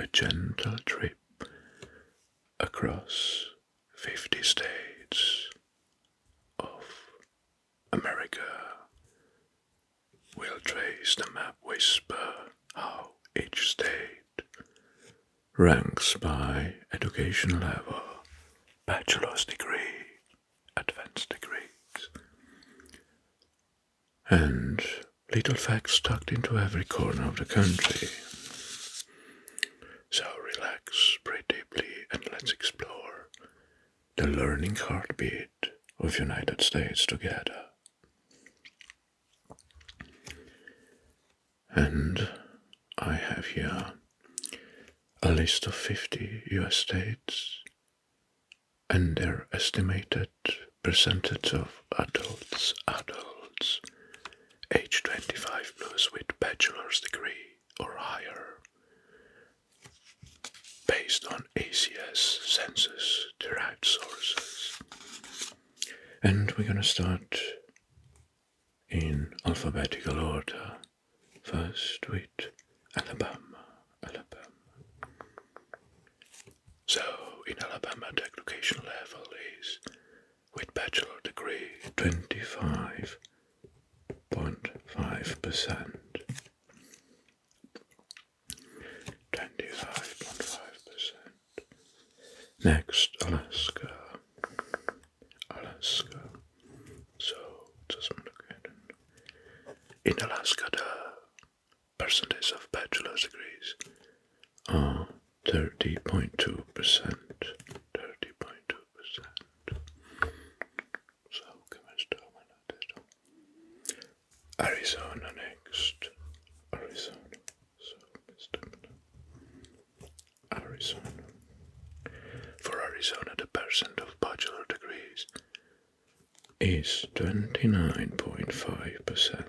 a gentle trip across 50 states of America. We'll trace the map whisper how each state ranks by education level, bachelor's degree, advanced degrees, and little facts tucked into every corner of the country. So relax, breathe deeply, and let's explore the learning heartbeat of United States together. And I have here a list of 50 US states and their estimated percentage of adults, adults, age 25 plus with bachelor's degree or higher, based on ACS census-derived sources. And we're going to start in alphabetical order. First with Alabama, Alabama. So, in Alabama, the education level is with bachelor degree 25.5%. 25.5%. Next, Alaska. Alaska. So, just look at it. In Alaska, percentage of bachelor's degrees are 30.2%. 30.2%. So, Arizona next. Arizona. So, Arizona. For Arizona, the percent of bachelor's degrees is 29.5%.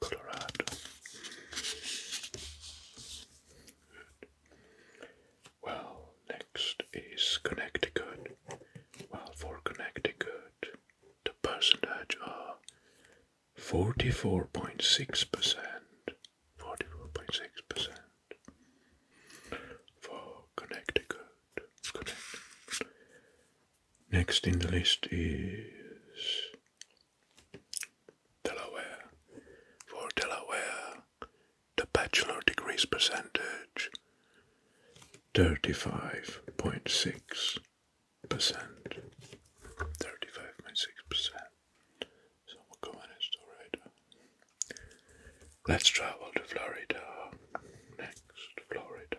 Colorado. Well, next is Connecticut. Well, for Connecticut, the percentage are 44.6%. 44.6% for Connecticut. Next in the list is Delaware. For Delaware, the bachelor degrees percentage 35.6%. 35.6%. So we'll go on to Let's travel to Florida. Next, Florida.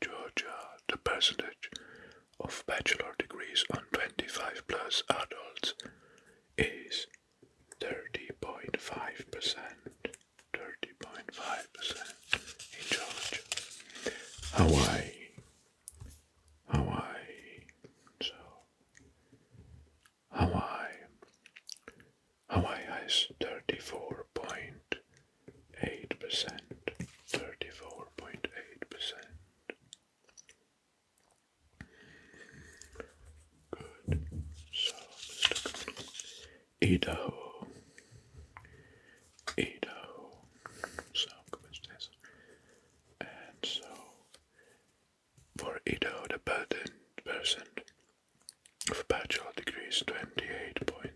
Georgia, the percentage of bachelor degrees on 25 plus adults is 30.5%. 30.5% in Georgia. Hawaii. Hawaii. So, Hawaii. Hawaii has 34.5% eight percent, thirty-four point eight percent. Good. So, Idaho, Idaho. So, this, and so for Idaho, the patent percent of bachelor degrees, twenty-eight point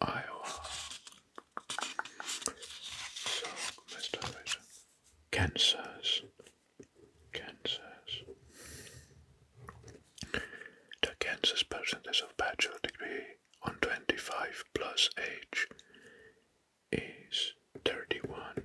Iowa. So, Mr. Fraser. Kansas. Kansas. The Kansas percentage of bachelor degree on 25 plus age is 31.1%.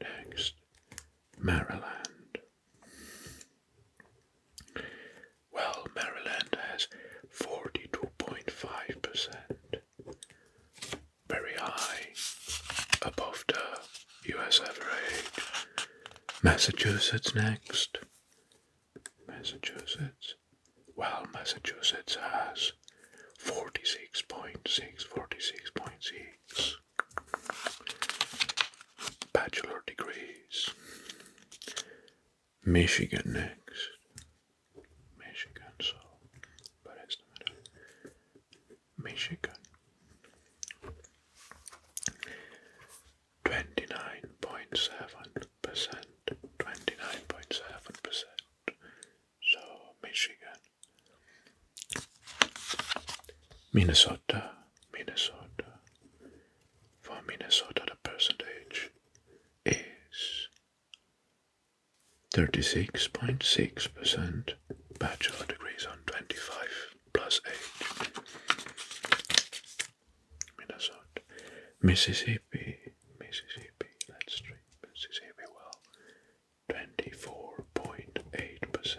Next, Maryland. Well, Maryland has 42.5%, very high, above the US average. Massachusetts next. Massachusetts. Well, Massachusetts has 46.6, 46.6. Bachelor degrees. Michigan next. Michigan, so but it's the Michigan. Twenty nine point seven percent. Twenty nine point seven percent. So Michigan Minnesota, Minnesota. For Minnesota, the percentage is 36.6% bachelor degrees on 25 plus age. Minnesota, Mississippi, Mississippi, let's treat Mississippi well. 24.8%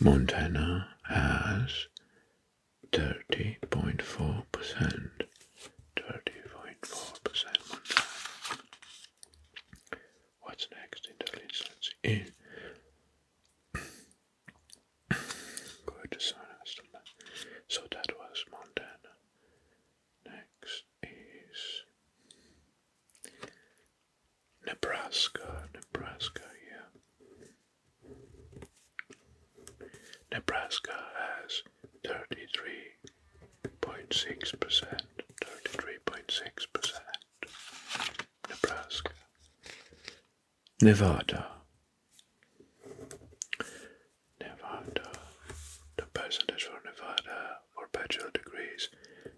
Montana has 30.4%. 30.4% Montana. What's next in the list? Let's see. Good So that was Montana. Next is Nebraska, Nebraska, yeah. Nebraska has 33.6%, 33.6%. Nebraska. Nevada. Nevada. The percentage for Nevada for bachelor degrees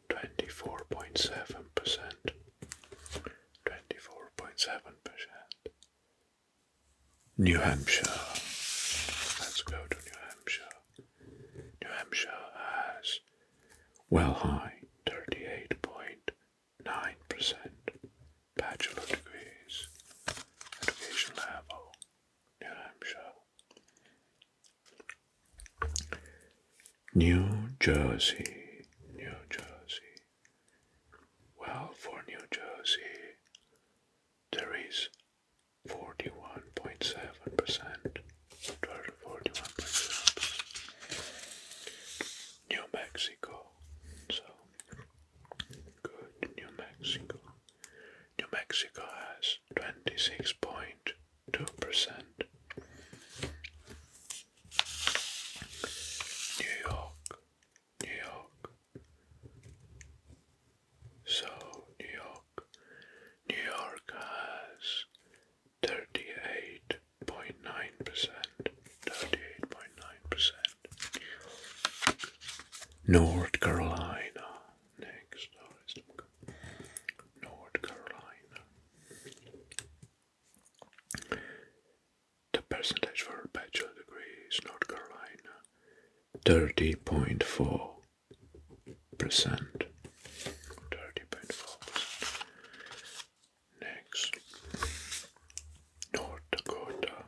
24.7 percent, 24.7 percent. New Hampshire. Let's go to New Hampshire. New Hampshire has well high 38.9 percent bachelor degrees, education level. New Hampshire. New Jersey, New Jersey. Well, for New Jersey, there is 41.7%. New Mexico. So, good. New Mexico. New Mexico has twenty-six percent two percent. New York, New York. So New York, New York has thirty-eight point nine percent. Thirty-eight point nine percent. North Carolina. Next, North Carolina. The percentage for bachelor degree North Carolina 30.4%. 30.4%. Next, North Dakota.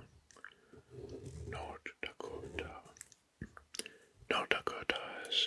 North Dakota. North Dakota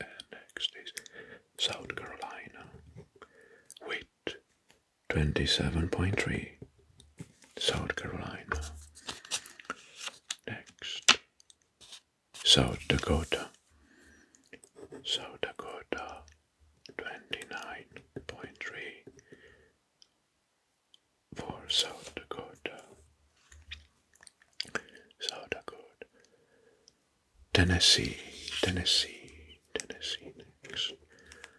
And next is South Carolina with 27.3. South Carolina. Next, South Dakota. South Dakota 29.3 for South Dakota. South Dakota, Tennessee, Tennessee, Tennessee next.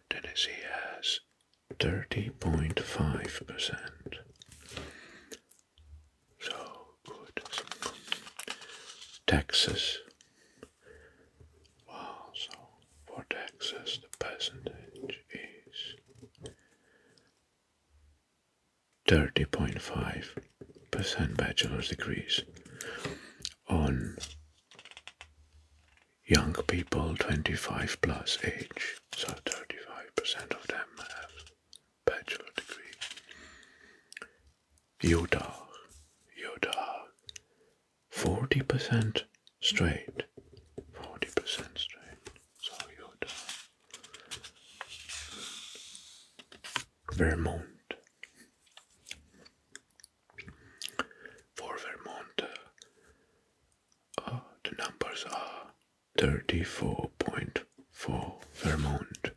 Tennessee has 30.5%. So good. Texas. Wow, so for Texas the percentage is 30.5% bachelor's degrees. On young people 25 plus age, so 35% of them have bachelor degree. Utah, Utah, 40% straight, 40% straight. Toyota, Vermont. For Vermont, uh, the numbers are 34.4 Vermont.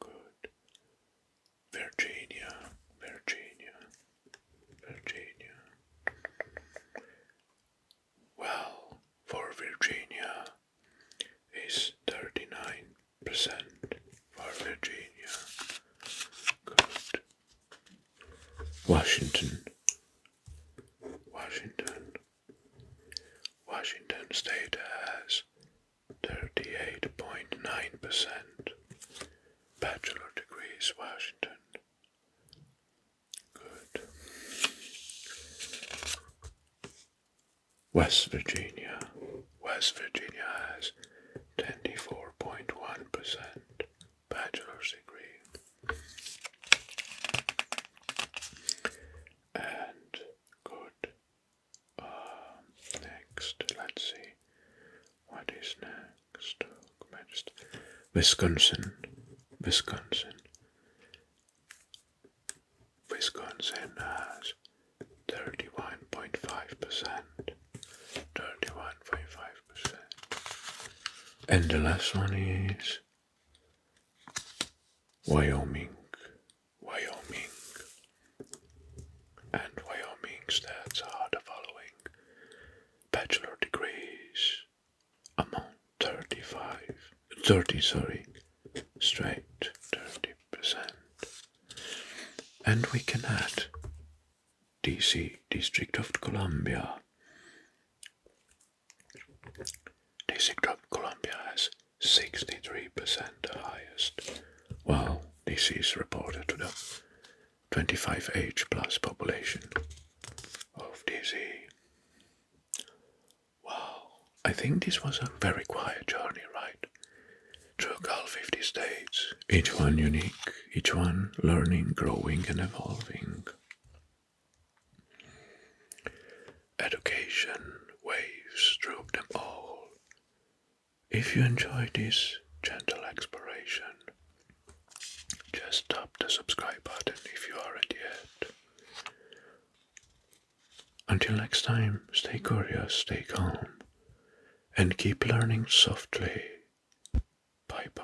Good. Virginia, Virginia, Virginia well for Virginia is 39% for Virginia. Good. Washington. Washington. Washington State has 38.9% bachelor degrees Washington Good. West Virginia. West Virginia has 24.1% bachelor's degree. And good. Um, next, let's see what is next just Wisconsin, Wisconsin, Wisconsin has thirty-one point five percent, thirty-one point five percent, and the last one is Wyoming, Wyoming, and Wyoming stats are the following: bachelor degrees amount 35 30 sorry straight 30% and we can add DC District of Columbia District of Columbia has 63% the highest while this is reported to the 25 age plus population of DC Wow, I think this was a very quiet journey, right? Took all 50 states, each one unique, each one learning, growing, and evolving. Education waves through them all. If you enjoy this gentle exploration, just tap the subscribe button if you aren't yet. Until next time, stay curious, stay calm, and keep learning softly. Bye bye.